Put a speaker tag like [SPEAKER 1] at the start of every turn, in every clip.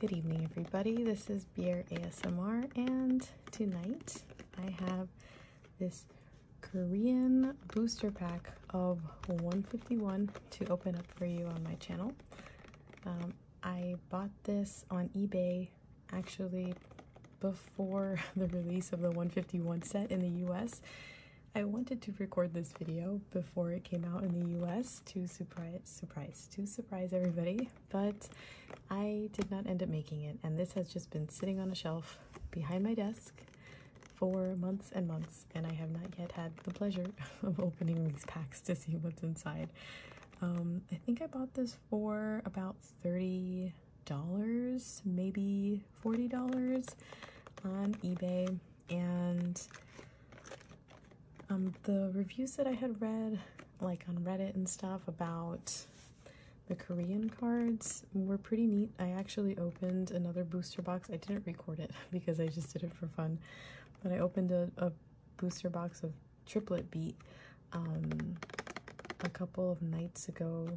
[SPEAKER 1] Good evening, everybody. This is Beer ASMR, and tonight I have this Korean booster pack of 151 to open up for you on my channel. Um, I bought this on eBay actually before the release of the 151 set in the US I wanted to record this video before it came out in the US to surprise surprise to surprise everybody, but I did not end up making it and this has just been sitting on a shelf behind my desk for months and months and I have not yet had the pleasure of opening these packs to see what's inside. Um, I think I bought this for about $30, maybe $40 on eBay and um, the reviews that I had read like on Reddit and stuff about the Korean cards were pretty neat. I actually opened another booster box. I didn't record it because I just did it for fun, but I opened a, booster box of Triplet Beat um, a couple of nights ago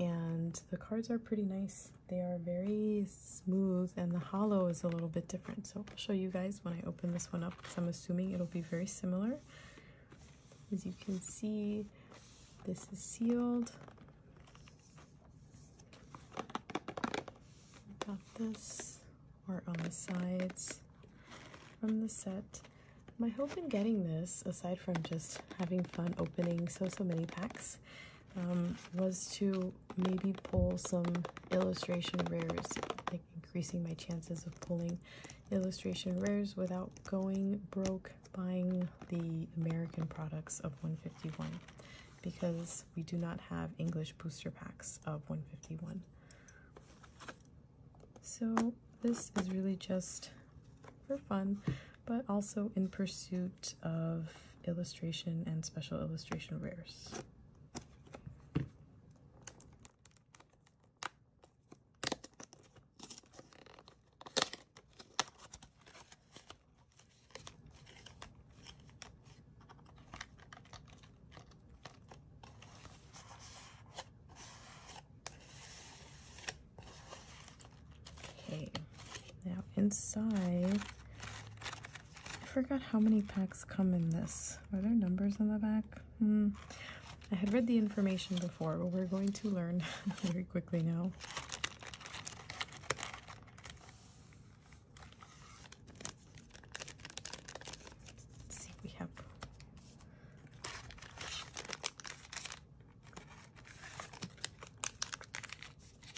[SPEAKER 1] and the cards are pretty nice. They are very smooth and the hollow is a little bit different. So I'll show you guys when I open this one up because I'm assuming it'll be very similar. As you can see, this is sealed. Got this or on the sides from the set. My hope in getting this, aside from just having fun opening so, so many packs, um, was to maybe pull some illustration rares, like increasing my chances of pulling illustration rares without going broke buying the American products of 151 because we do not have English booster packs of 151. So this is really just for fun, but also in pursuit of illustration and special illustration rares. Okay, now inside, I forgot how many packs come in this. Are there numbers on the back? Hmm. I had read the information before, but we're going to learn very quickly now. see, we have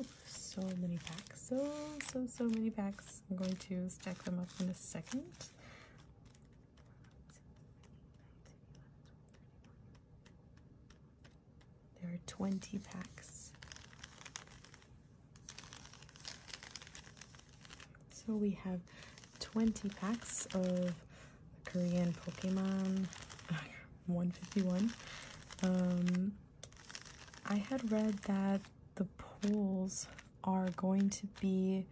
[SPEAKER 1] Oh, so many packs, so, so, so many packs. I'm going to stack them up in a second. There are 20 packs. So we have 20 packs of Korean Pokemon 151. Um, I had read that the polls are going to be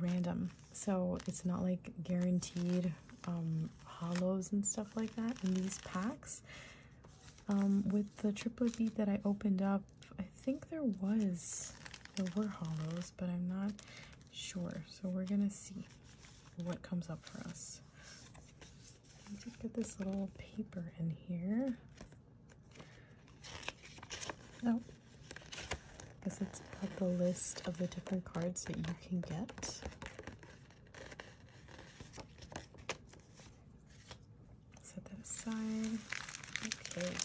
[SPEAKER 1] random. So it's not like guaranteed um, hollows and stuff like that in these packs. Um, with the triple bead that I opened up, I think there was, there were hollows, but I'm not sure. So we're gonna see what comes up for us. Let me just get this little paper in here. Oh, I guess it's has the list of the different cards that you can get. Set that aside. Okay.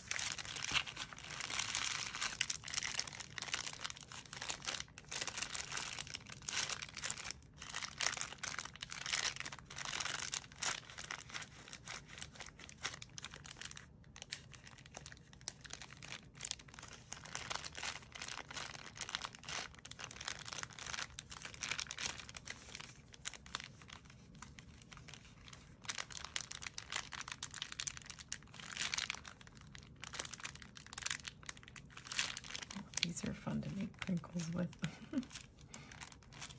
[SPEAKER 1] These are fun to make crinkles with.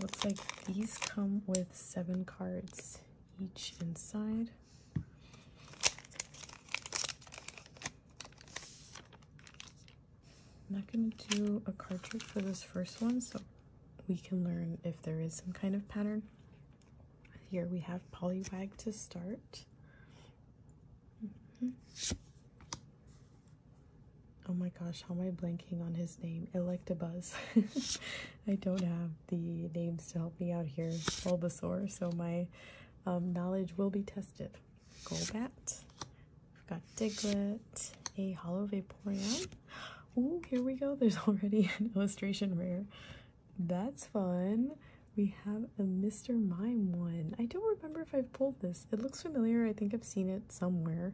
[SPEAKER 1] Looks like these come with seven cards each inside. I'm not going to do a card trick for this first one, so we can learn if there is some kind of pattern. Here we have Wag to start. Mm-hmm oh my gosh, how am I blanking on his name? Electabuzz. I don't have the names to help me out here, Bulbasaur, so my um, knowledge will be tested. Golbat. We've got Diglett, a Hollow Vaporeon. Oh, here we go. There's already an illustration rare. That's fun. We have a Mr. Mime one. I don't remember if I've pulled this. It looks familiar. I think I've seen it somewhere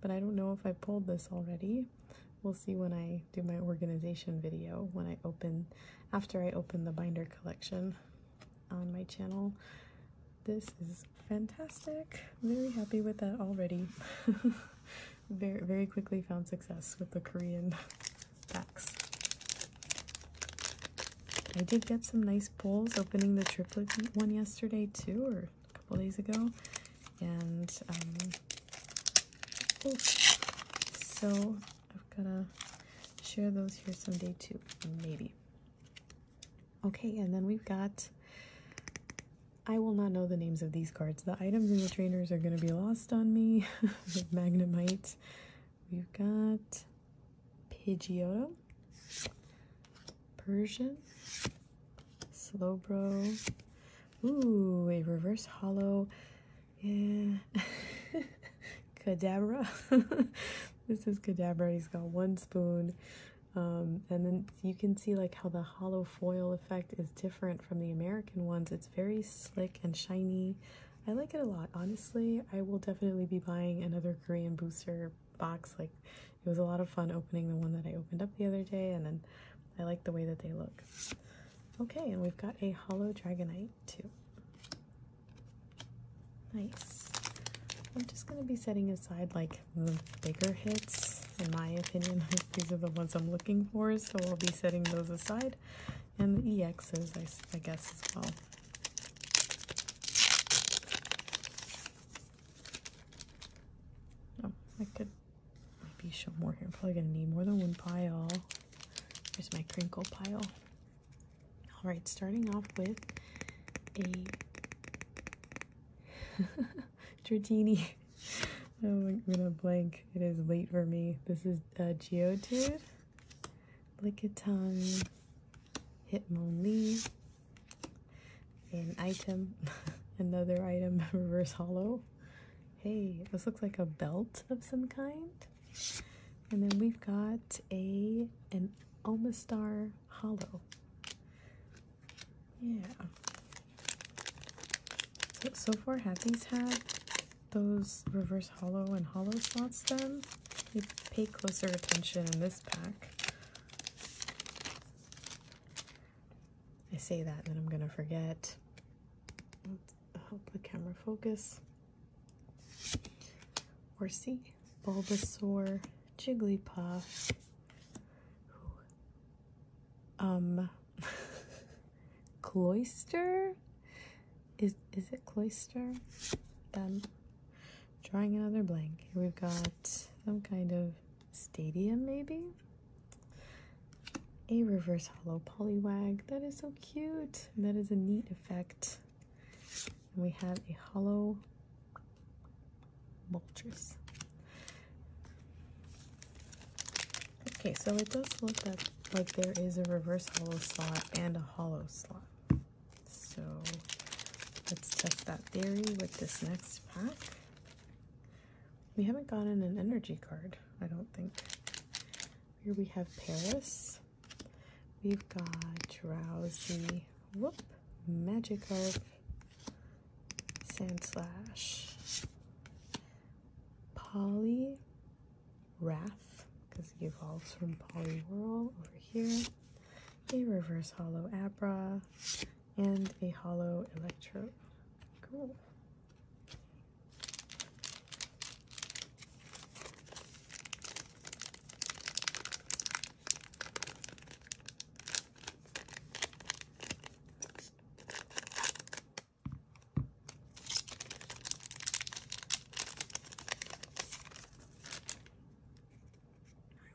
[SPEAKER 1] but I don't know if I pulled this already. We'll see when I do my organization video when I open after I open the binder collection on my channel. This is fantastic. Very happy with that already. very very quickly found success with the Korean packs. I did get some nice pulls opening the triplet one yesterday too, or couple days ago, and um, oh, so I've gotta share those here someday too, maybe. Okay, and then we've got. I will not know the names of these cards. The items in the trainers are going to be lost on me. with Magnemite. We've got Pidgeotto. Persian, slow bro, Ooh, a reverse hollow. Yeah. cadabra. this is cadabra. He's got one spoon. Um, and then you can see like how the hollow foil effect is different from the American ones. It's very slick and shiny. I like it a lot. Honestly, I will definitely be buying another Korean booster box. Like it was a lot of fun opening the one that I opened up the other day, and then I like the way that they look. Okay, and we've got a hollow dragonite too. Nice. I'm just going to be setting aside like the bigger hits. In my opinion, these are the ones I'm looking for, so I'll be setting those aside. And the EXs, I, guess, as well. Oh, I could Maybe some more here. I'm probably gonna need more than one pile. Here's my crinkle pile. All right, starting off with a Dratini. oh, I'm gonna blank. It is late for me. This is a uh, Geodude, Lickitung, Hitmonlee, an item, another item, reverse hollow. Hey, this looks like a belt of some kind. And then we've got a an Omastar hollow. Yeah. So, so far, have these had those reverse hollow and hollow spots? then? You pay closer attention in this pack. I say that and then I'm gonna forget. help the camera focus. Or see Bulbasaur, Jigglypuff. Um, Cloister? Is is it Cloister? Um, drawing another blank. Here we've got some kind of stadium maybe a reverse hollow polywag that is so cute that is a neat effect we have a hollow vultures okay so it does look like there is a reverse hollow slot and a hollow slot so let's test that theory with this next pack we haven't gotten an energy card, I don't think. Here we have Paris. We've got Drowsy, Whoop, Sand Slash. Polly, Wrath, because he evolves from Polywhirl over here. A reverse hollow Abra, and a hollow electrode. Cool.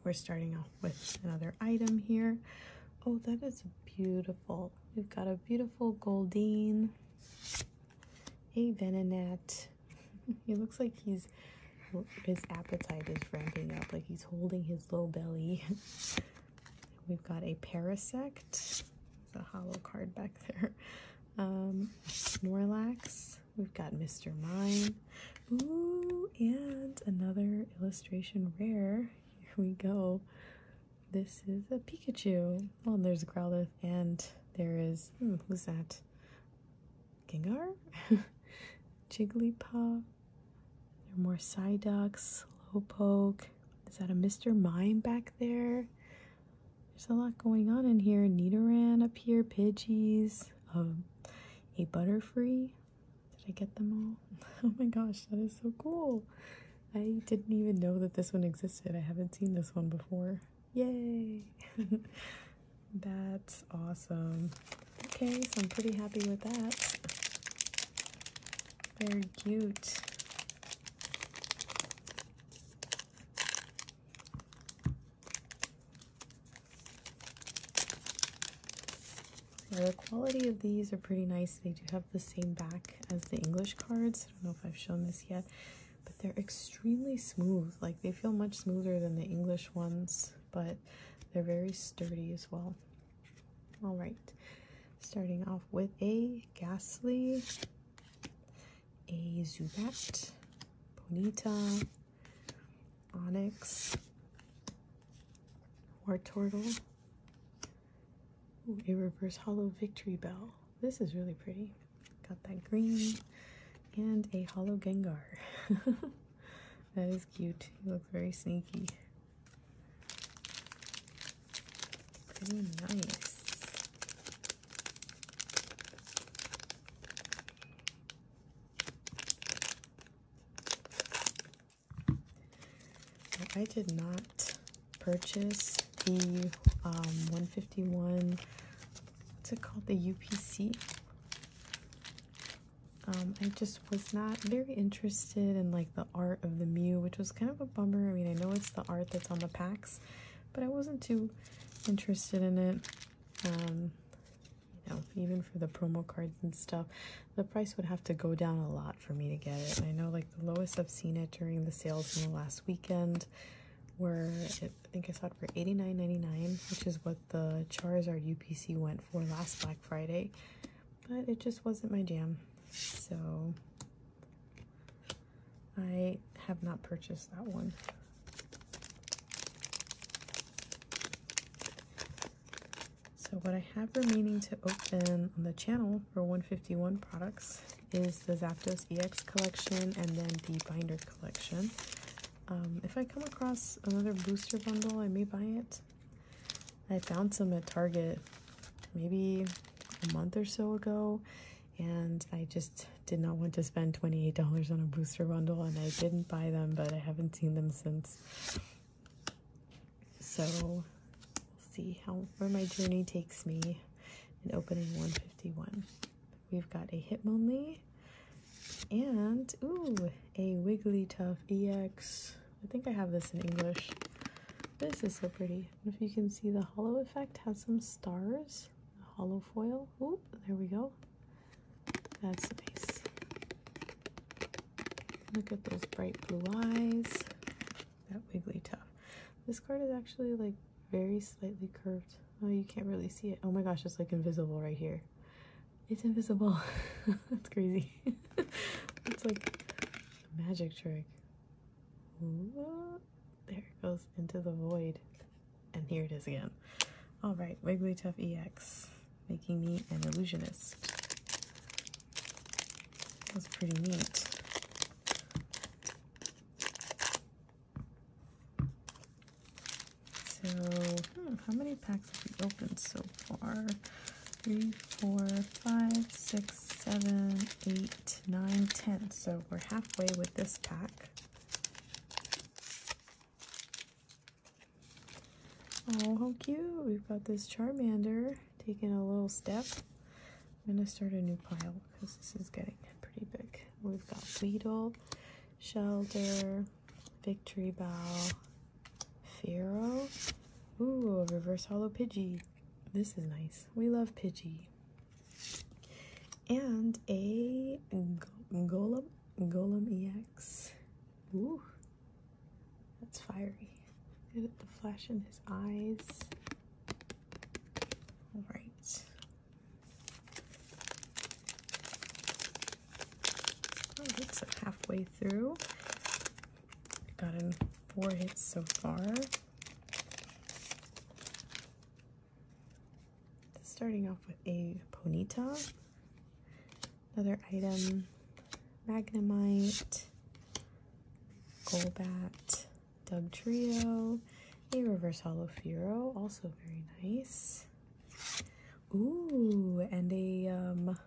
[SPEAKER 1] We're starting off with another item here. Oh, that is beautiful. We've got a beautiful Goldine, a Venonat. he looks like he's, his appetite is ramping up, like he's holding his low belly. We've got a Parasect, there's a hollow card back there. Um, Snorlax, we've got Mr. Mime, ooh, and another illustration rare here we go. This is a Pikachu. Oh, and there's a Growlithe, and there is, hmm, who's that? Gengar? Jigglypuff? There are more Psyducks, Slowpoke. Is that a Mr. Mime back there? There's a lot going on in here. Nidoran up here, Pidgeys, um, a Butterfree did I get them all? Oh my gosh, that is so cool. I didn't even know that this one existed. I haven't seen this one before. Yay! That's awesome. Okay, so I'm pretty happy with that. Very cute the quality of these are pretty nice. They do have the same back as the English cards. I don't know if I've shown this yet, but they're extremely smooth. Like they feel much smoother than the English ones, but they're very sturdy as well. All right, starting off with a Ghastly, a Zubat, Ponita, Onyx, War Turtle, a reverse hollow victory bell. This is really pretty. Got that green and a hollow Gengar. that is cute. He looks very sneaky. Pretty nice. I did not purchase the um, 151, what's it called, the UPC. Um, I just was not very interested in like the art of the Mew, which was kind of a bummer. I mean, I know it's the art that's on the packs, but I wasn't too interested in it. Um, you know, even for the promo cards and stuff the price would have to go down a lot for me to get it. I know like the lowest I've seen it during the sales in the last weekend where I think I saw it for $89.99, which is what the Charizard UPC went for last Black Friday. But it just wasn't my jam. So I have not purchased that one. So what I have remaining to open on the channel for 151 products is the Zaptos EX collection and then the binder collection. Um, if I come across another booster bundle, I may buy it. I found some at Target maybe a month or so ago, and I just did not want to spend $28 on a booster bundle, and I didn't buy them, but I haven't seen them since. So we'll see how where my journey takes me in opening 151. We've got a Hitmonlee and ooh, a Wigglytuff EX. I think I have this in English. This is so pretty. If you can see the hollow effect has some stars. Hollow foil. Ooh, there we go. That's nice. Look at those bright blue eyes that wiggly Wigglytuff. This card is actually like very slightly curved. Oh, you can't really see it. Oh my gosh, it's like invisible right here. It's invisible. That's crazy. it's like a magic trick. There it goes into the void. And here it is again. All right, wiggly tough EX, making me an illusionist. That's pretty neat. So, hmm, how many packs have we opened so far? Three, four, five, six, seven, eight, nine, ten. So we're halfway with this pack. Oh, how cute! We've got this Charmander. Taking a little step. I'm going to start a new pile because this is getting pretty big. We've got Weedle, Shelter, Victory Bow, Fero. Ooh, a reverse hollow Pidgey. This is nice. We love Pidgey. And a Golem, Golem EX. Ooh, that's fiery. the flash in his eyes. All right. Oh, halfway through. got in four hits so far. Starting off with a Ponita, another item, Magnemite, Golbat, Doug Trio, a reverse hollow Firo, also very nice. Ooh, and a um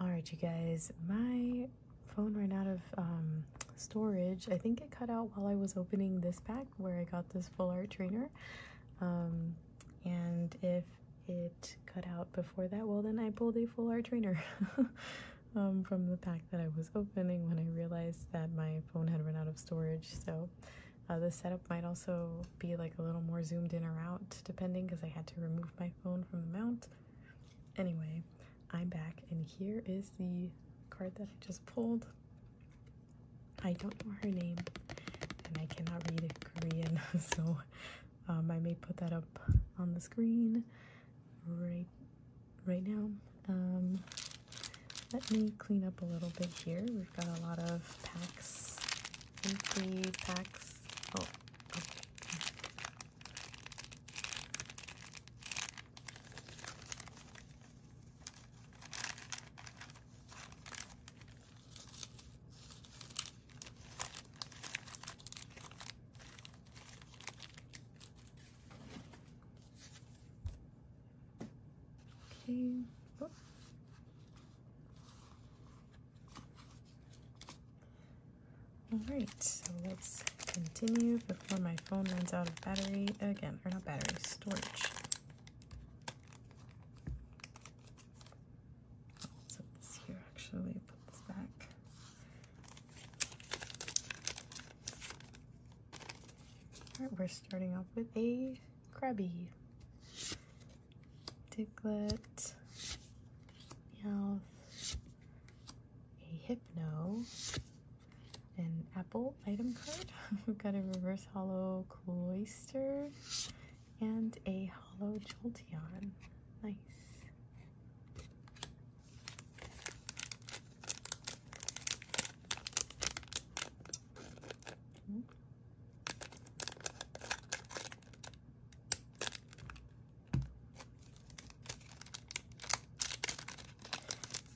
[SPEAKER 1] Alright you guys, my phone ran out of um, storage. I think it cut out while I was opening this pack where I got this full art trainer. Um, and if it cut out before that, well then I pulled a full art trainer um, from the pack that I was opening when I realized that my phone had run out of storage. So uh, the setup might also be like a little more zoomed in or out depending because I had to remove my phone from the mount. Anyway, I'm back and here is the card that I just pulled. I don't know her name and I cannot read Korean so um, I may put that up on the screen right right now. Um, let me clean up a little bit here. We've got a lot of packs, empty packs. Oh, Okay. Oh. All right, so let's continue before my phone runs out of battery again, or not battery, storage. So this here actually, put this back. Alright, we're starting off with a Krabby. Diglett, Meowth, a Hypno, an Apple item card. We've got a Reverse Hollow Cloister and a Hollow Jolteon. Nice.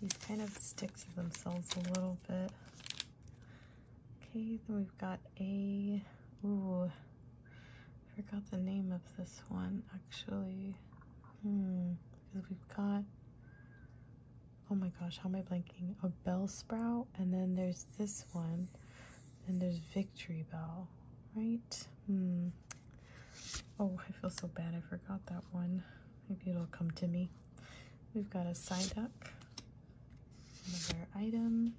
[SPEAKER 1] These kind of stick to themselves a little bit. Okay, then we've got a, ooh, I forgot the name of this one actually. because hmm, we've got, oh my gosh, how am I blanking? A bell sprout, and then there's this one, and there's victory bell, right? Hmm. Oh, I feel so bad I forgot that one. Maybe it'll come to me. We've got a side duck. another item,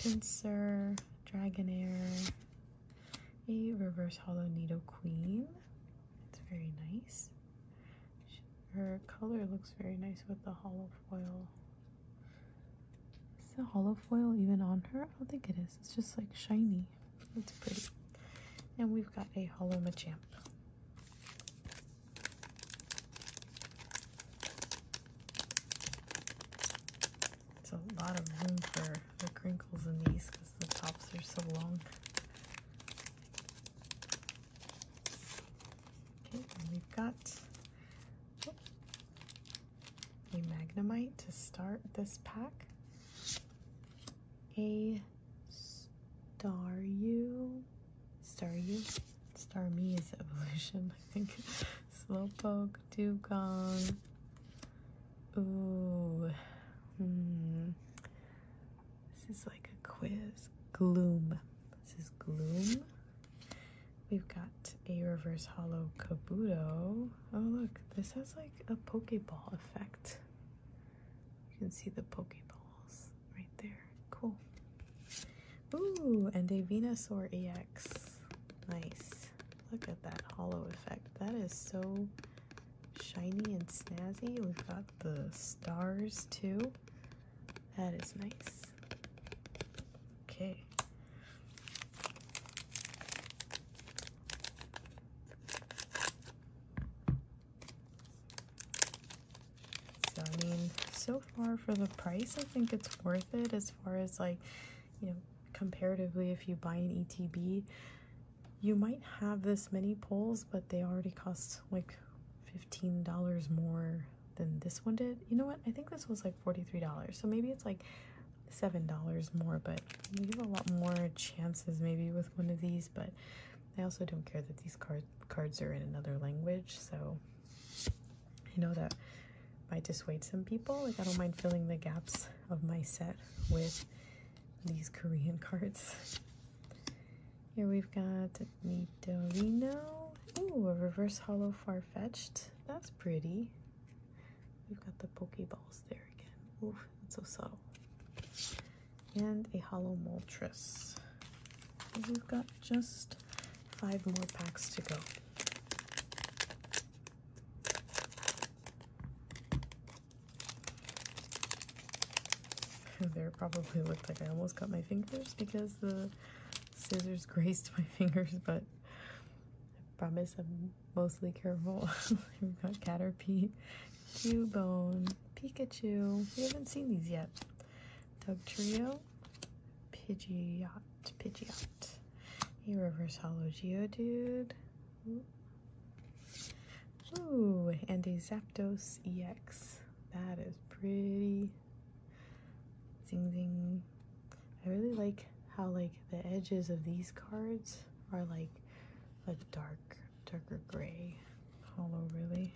[SPEAKER 1] Pinsir, Dragonair, a reverse hollow Needle Queen. It's very nice. Her color looks very nice with the hollow foil. Is the hollow foil even on her? I don't think it is. It's just like shiny. It's pretty. And we've got a hollow Machamp. It's a lot of room for the crinkles in these because the tops are so long. Okay, we've got a Magnemite to start this pack. A Staryu, Staryu, Star Me is evolution, I think. Slowpoke, dugong. Ooh. Hmm. This is like a quiz. Gloom. This is gloom. We've got a reverse hollow Kabuto. Oh look, this has like a Pokeball effect. You can see the Pokeballs right there. Cool. Ooh, and a Venusaur EX. Nice. Look at that hollow effect. That is so shiny and snazzy. We've got the stars too. That is nice. Okay. So I mean, so far for the price, I think it's worth it as far as like you know, comparatively, if you buy an ETB, you might have this many poles, but they already cost like $15 more than this one did. You know what? I think this was like $43. So maybe it's like $7 more, but you have a lot more chances maybe with one of these, but I also don't care that these card cards are in another language, so I know that might dissuade some people. Like I don't mind filling the gaps of my set with these Korean cards. Here we've got Nidorino. Ooh, a reverse hollow far-fetched. That's pretty. We've got the Pokeballs there again. Ooh, that's so subtle. And a hollow Moltres. We've got just five more packs to go there probably looked like I almost cut my fingers because the scissors grazed my fingers, but I promise I'm mostly careful. We've got Caterpie, Cubone, Pikachu. We haven't seen these yet. Dug Trio, Pidgeot, Pidgeot a reverse hollow Geo dude. Ooh, and a Zapdos EX. That is pretty. Zing zing. I really like how like the edges of these cards are like a dark, darker gray hollow really.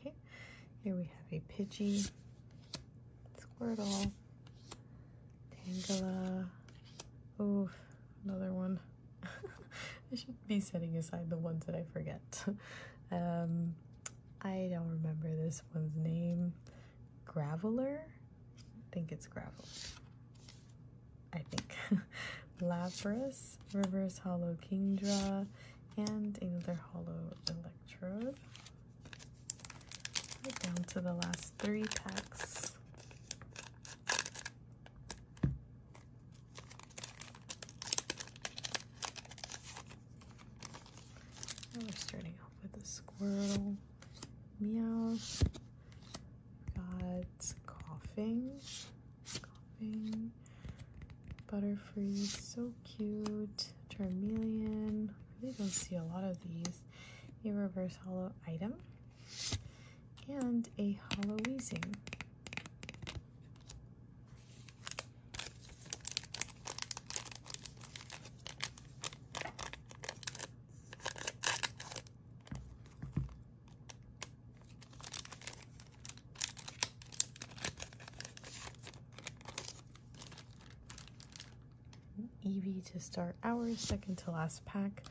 [SPEAKER 1] Okay, here we have a Pidgey, Squirtle, Tangela, oof, another one. I should be setting aside the ones that I forget. Um, I don't remember this one's name. Graveler. I think it's gravel. I think. Lapras, Reverse Hollow Kingdra, and another Hollow Electro. we down to the last three packs. we're starting with a squirrel. Meow. Got coughing. Coughing. Butterfree, so cute. Charmeleon. really don't see a lot of these. A reverse hollow item. And a hollow wheezing. Eevee to start our second to last pack.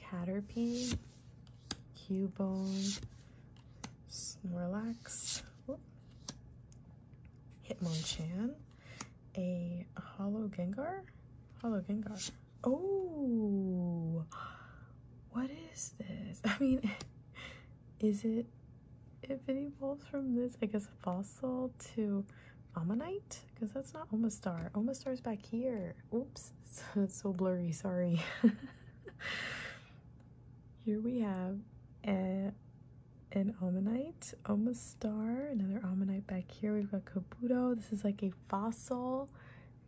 [SPEAKER 1] Caterpie, Cubone, Snorlax, Hitmonchan, a Hollow Gengar? Hollow Gengar. Oh, what is this? I mean, is it, if it evolves from this, I guess, fossil to Ammonite? Because that's not Omastar. Omastar's back here. Oops, it's so blurry, sorry. here we have a an ammonite, omastar, another ammonite back here. We've got Kabuto. This is like a fossil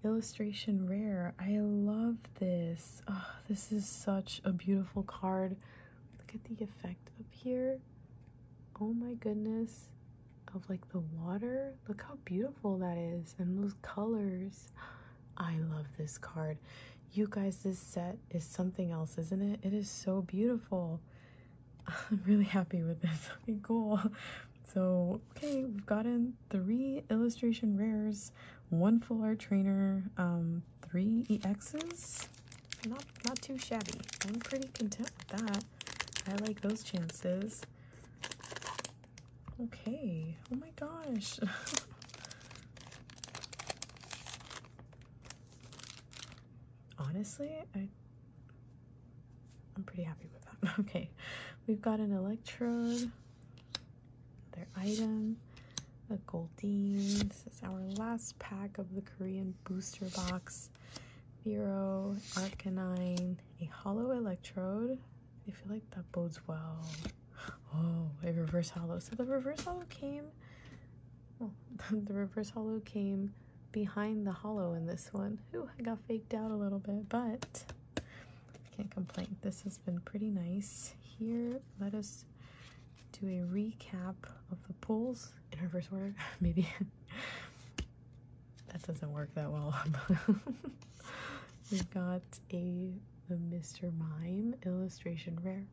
[SPEAKER 1] illustration rare. I love this. Oh, this is such a beautiful card. Look at the effect up here. Oh my goodness. Of like the water. Look how beautiful that is. And those colors. I love this card. You guys, this set is something else, isn't it? It is so beautiful. I'm really happy with this. Okay, cool. So, okay, we've gotten three illustration rares, one full art trainer, um, three exes. Not, not too shabby. I'm pretty content with that. I like those chances. Okay. Oh my gosh. Honestly, I I'm pretty happy with that. Okay, we've got an Electrode, their item, a Goldeen. This is our last pack of the Korean booster box. Vero, Arcanine, a hollow Electrode. I feel like that bodes well. Oh, a reverse hollow. So the reverse hollow came. Well, the reverse hollow came behind the hollow in this one. Ooh, I got faked out a little bit, but can't complain. This has been pretty nice. Here, let us do a recap of the pulls in reverse order, maybe. that doesn't work that well. We've got a, Mr. Mime illustration rare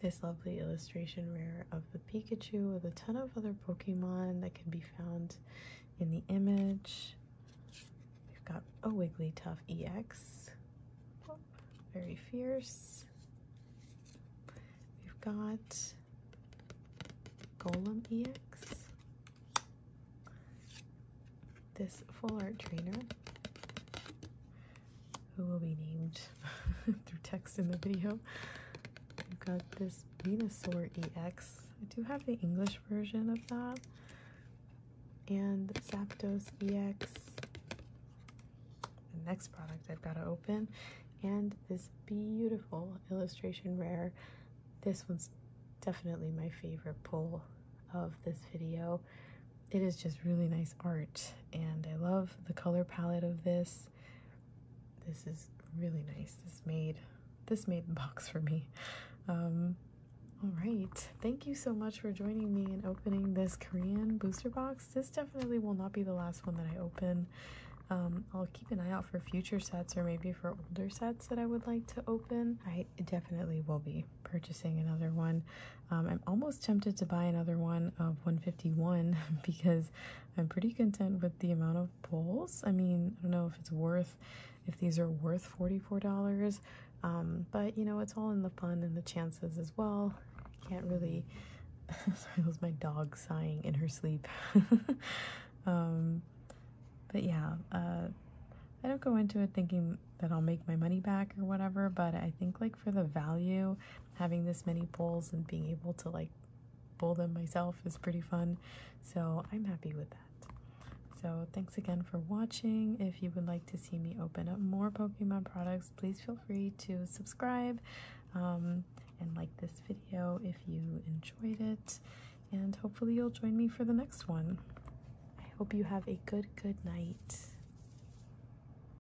[SPEAKER 1] this lovely illustration rare of the Pikachu with a ton of other Pokemon that can be found in the image. We've got a Wigglytuff EX, very fierce. We've got Golem EX, this full art trainer, who will be named through text in the video. i have got this Venusaur EX. I do have the English version of that. And Zapdos EX. The next product I've got to open. And this beautiful illustration rare. This one's definitely my favorite pull of this video it is just really nice art and I love the color palette of this. This is really nice. This made this made the box for me. Um, all right. Thank you so much for joining me in opening this Korean booster box. This definitely will not be the last one that I open. Um, I'll keep an eye out for future sets or maybe for older sets that I would like to open. I definitely will be purchasing another one. Um, I'm almost tempted to buy another one of 151 because I'm pretty content with the amount of bowls. I mean, I don't know if it's worth, if these are worth $44, um, but you know, it's all in the fun and the chances as well. can't really, sorry, that was my dog sighing in her sleep. Um, but yeah, uh, I don't go into it thinking that I'll make my money back or whatever, but I think like for the value, having this many bowls and being able to like bowl them myself is pretty fun. So I'm happy with that. So thanks again for watching. If you would like to see me open up more Pokemon products, please feel free to subscribe um, and like this video if you enjoyed it. And hopefully you'll join me for the next one. I hope you have a good, good night.